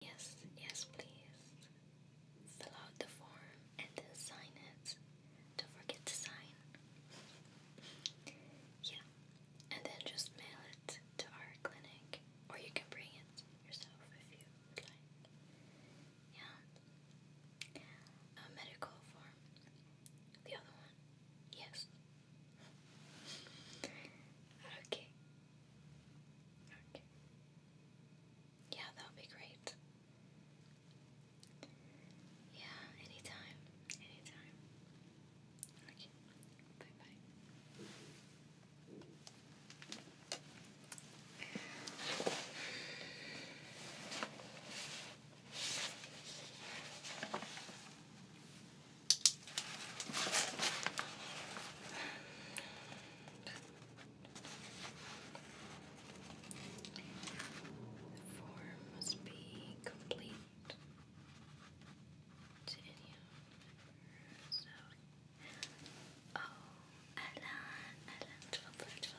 Yes, yes, please. Fill out the form and then sign it. Don't forget to sign. yeah, and then just mail it to our clinic, or you can bring it yourself if you would like. Yeah. A medical form. The other one. Yes. Okay. Okay. Yeah, that'll be great. Yeah, anytime. Anytime. Okay. Bye bye. The form must be complete to Oh, Alan, Alan, 12,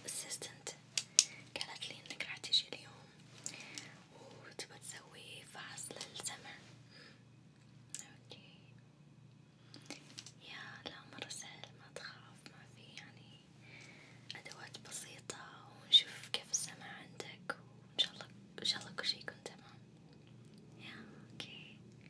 الأسيستنت قالت لي إنك راح تجي اليوم وتبى تسوي فحص للسمع اوكي يا لا مرة سهل ما تخاف ما في يعني أدوات بسيطة ونشوف كيف السمع عندك وإن شاء الله إن شاء الله كل شي يكون تمام يا اوكي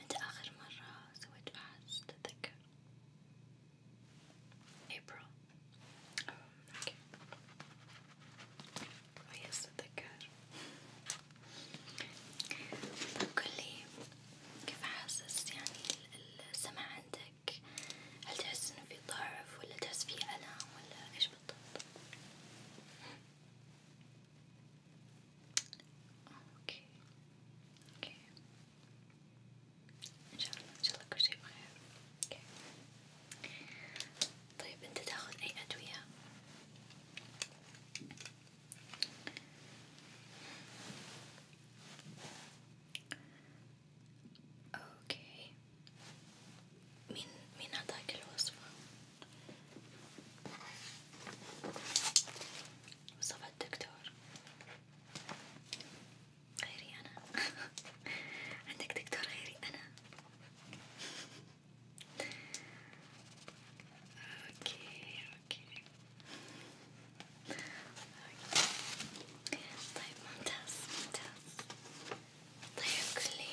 متى آخر مرة سويت فحص تتذكر؟ April اوكي كويس أتذكر طب قولي كيف حاسس يعني السمع عندك؟ هل تحس إنه في ضعف ولا تحس في ألم ولا إيش بالضبط؟ اوكي اوكي ان شاء الله ان شاء الله كل شيء بخير اوكي طيب انت تاخذ اي ادوية اوكي مين مين عطاك الوصفة؟ وصف الدكتور غيري أنا عندك دكتور غيري أنا أوكي أوكي طيب ممتاز ممتاز طيب قولي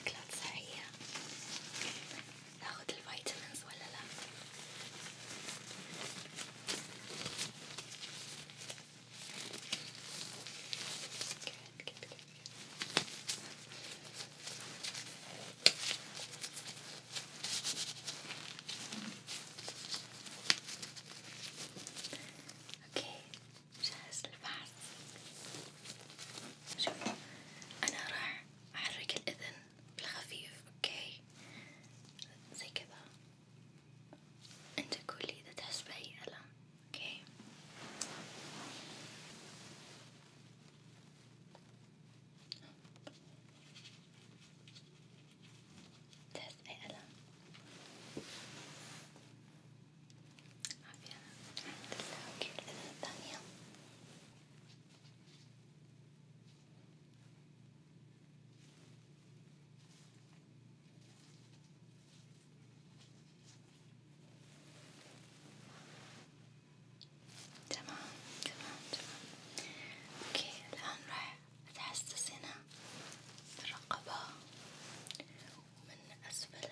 أكلات صحية ناخد الفيتامينز ولا لا؟ good, good, good. Okay, جاهز للفحص شوفوا أنا راح أحرك الأذن بالخفيف أوكي زي كذا أنت قولي إذا تحس بأي ألم أوكي تحس بأي ألم؟ عافية الحمد لله كيف الأذى الثانية؟ تمام تمام تمام اوكي الآن راح أتحسس هنا بالرقبة ومن أسفل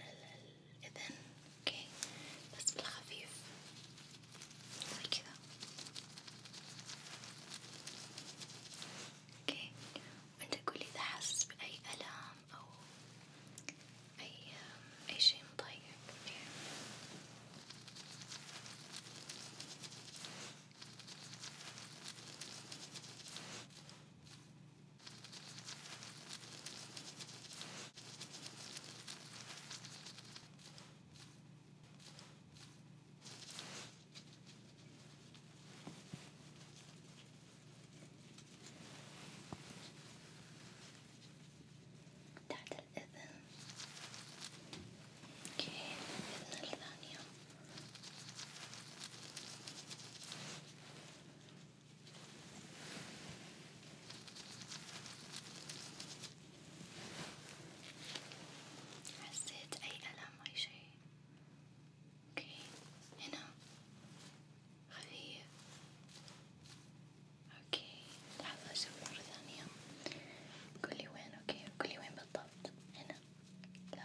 إذن أوكي بس بالخفيف زي كذا أوكي وأنت قولي إذا حاسس بأي ألم أو أي أي شي مضايقك أوكي اوكي تحت الأذن اوكي الأذن الثانية حسيت أي ألم أي شيء اوكي هنا خفيف اوكي لحظة اشوف مرة ثانية قولي وين اوكي قولي وين بالضبط هنا لا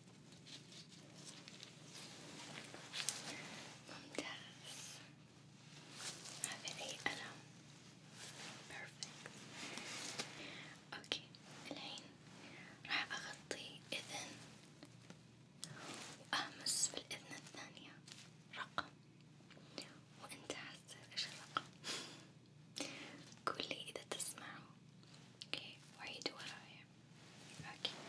ممتاز هذا أي ألم perfect اوكي الحين راح أغطي إذن وأهمس في الإذن الثانية رقم وأنت حاسس إيش الرقم قولي إذا تسمعوا اوكي وعيد ورايا Okay.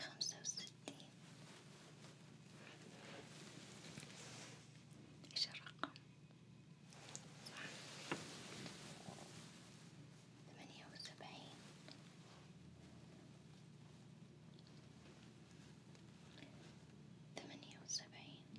خمسة وستين إيش الرقم؟ صح ثمانية وسبعين ثمانية وسبعين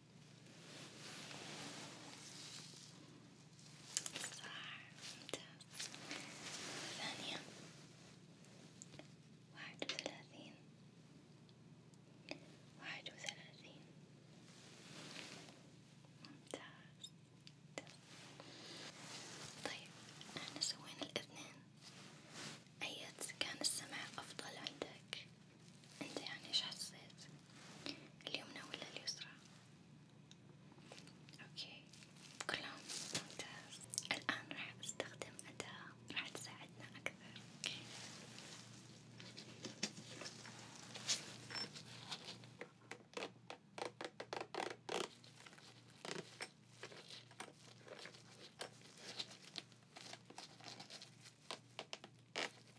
صح ممتاز ثانية واحد وثلاثين واحد وثلاثين ممتاز طيب احنا سوينا الاثنين أية كان السمع أفضل عندك؟ انت يعني ايش حسيت اليمنى ولا اليسرى اوكي كلهم ممتاز الان راح استخدم اداة راح تساعدنا اكثر أوكي.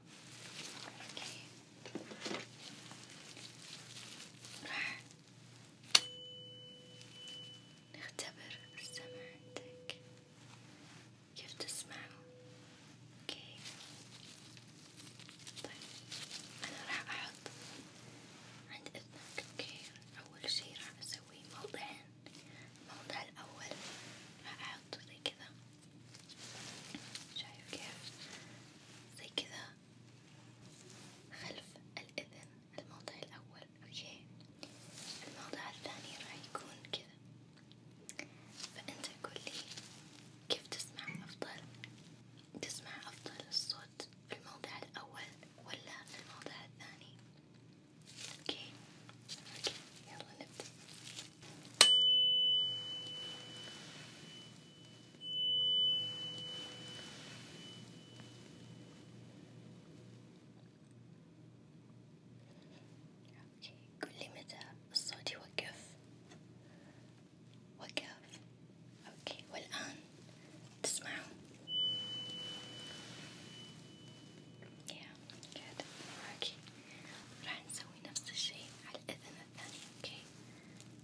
اوكي راح نختبر السمع عندك كيف تسمعه اوكي طيب انا راح احط عند اذنك اوكي اول شي راح اسوي موضعين الموضع الاول راح احطه زي كذا شايف كيف زي كذا خلف الإذن الموضع الأول أوكي الموضع الثاني راح يكون كذا فأنت قولي كيف تسمع أفضل تسمع أفضل الصوت في الموضع الأول ولا في الموضع الثاني أوكي أوكي يلا نبدأ اوكي قولي متى الصوت يوقف وقف اوكي والان تسمعون يا قاعدة معاكي راح نسوي نفس الشي على الأذن الثانية اوكي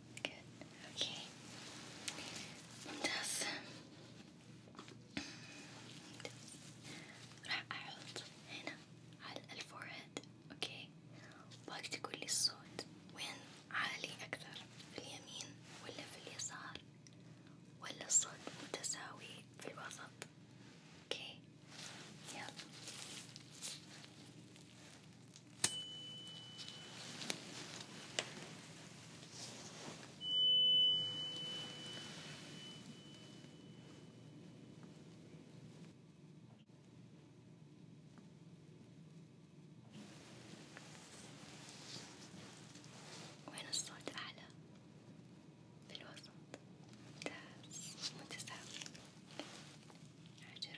نعم جد اوكي ممتاز راح احط هنا على الفورهيد اوكي وباك تقول لي الصوت وين عالي اكثر في اليمين ولا في اليسار ولا الصوت متساوي في الوسط اوكي يلا وين الصوت أعلى؟ بالوسط ممتاز متساوي عجب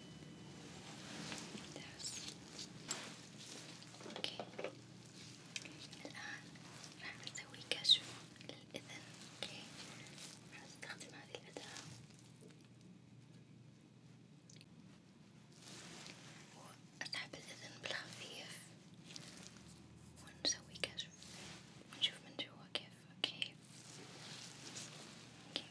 ممتاز اوكي الآن راح نسوي كشف للإذن اوكي راح نستخدم هذه الأداة وأسحب الإذن بالخفيف ونسوي كشف ونشوف من جوا كيف اوكي اوكي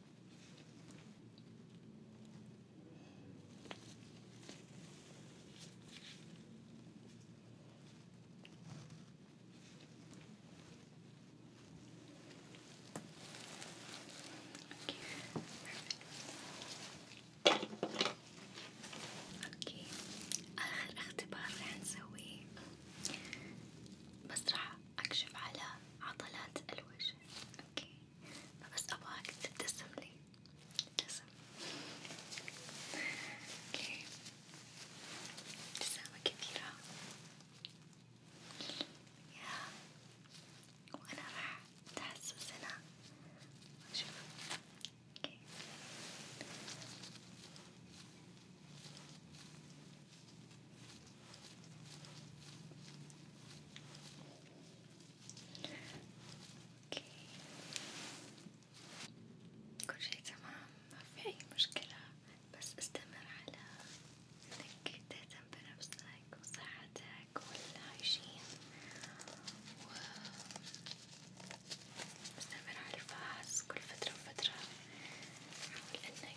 اوكي اوكي اخر اختبار رح نسويه بس رح راح أكشف على عضلات الوجه، أوكي، فبس أبغاك تبتسم لي، ابتسم، أوكي، ابتسامة كبيرة، يا وأنا راح أتحسس هنا، شوف، أوكي. اوكي كل شي تمام ما في اي مشكلة بس استمر على انك تهتم بنفسك وصحتك والهايجين و استمر على الفحص كل فترة وفترة حاول انك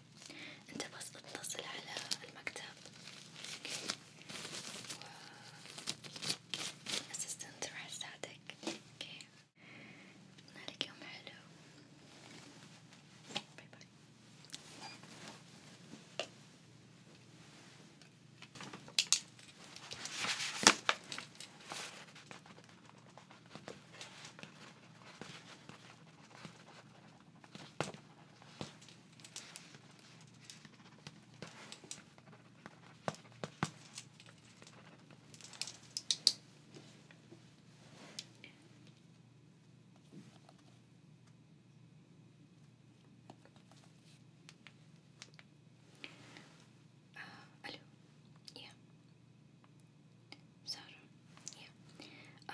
أوكي أنت بس اتصل على المكتب أوكي والأسيستنت راح تساعدك أوكي أتمنى لك يوم حلو باي باي Uh, hello. Yeah. Sarah. Yeah. Uh,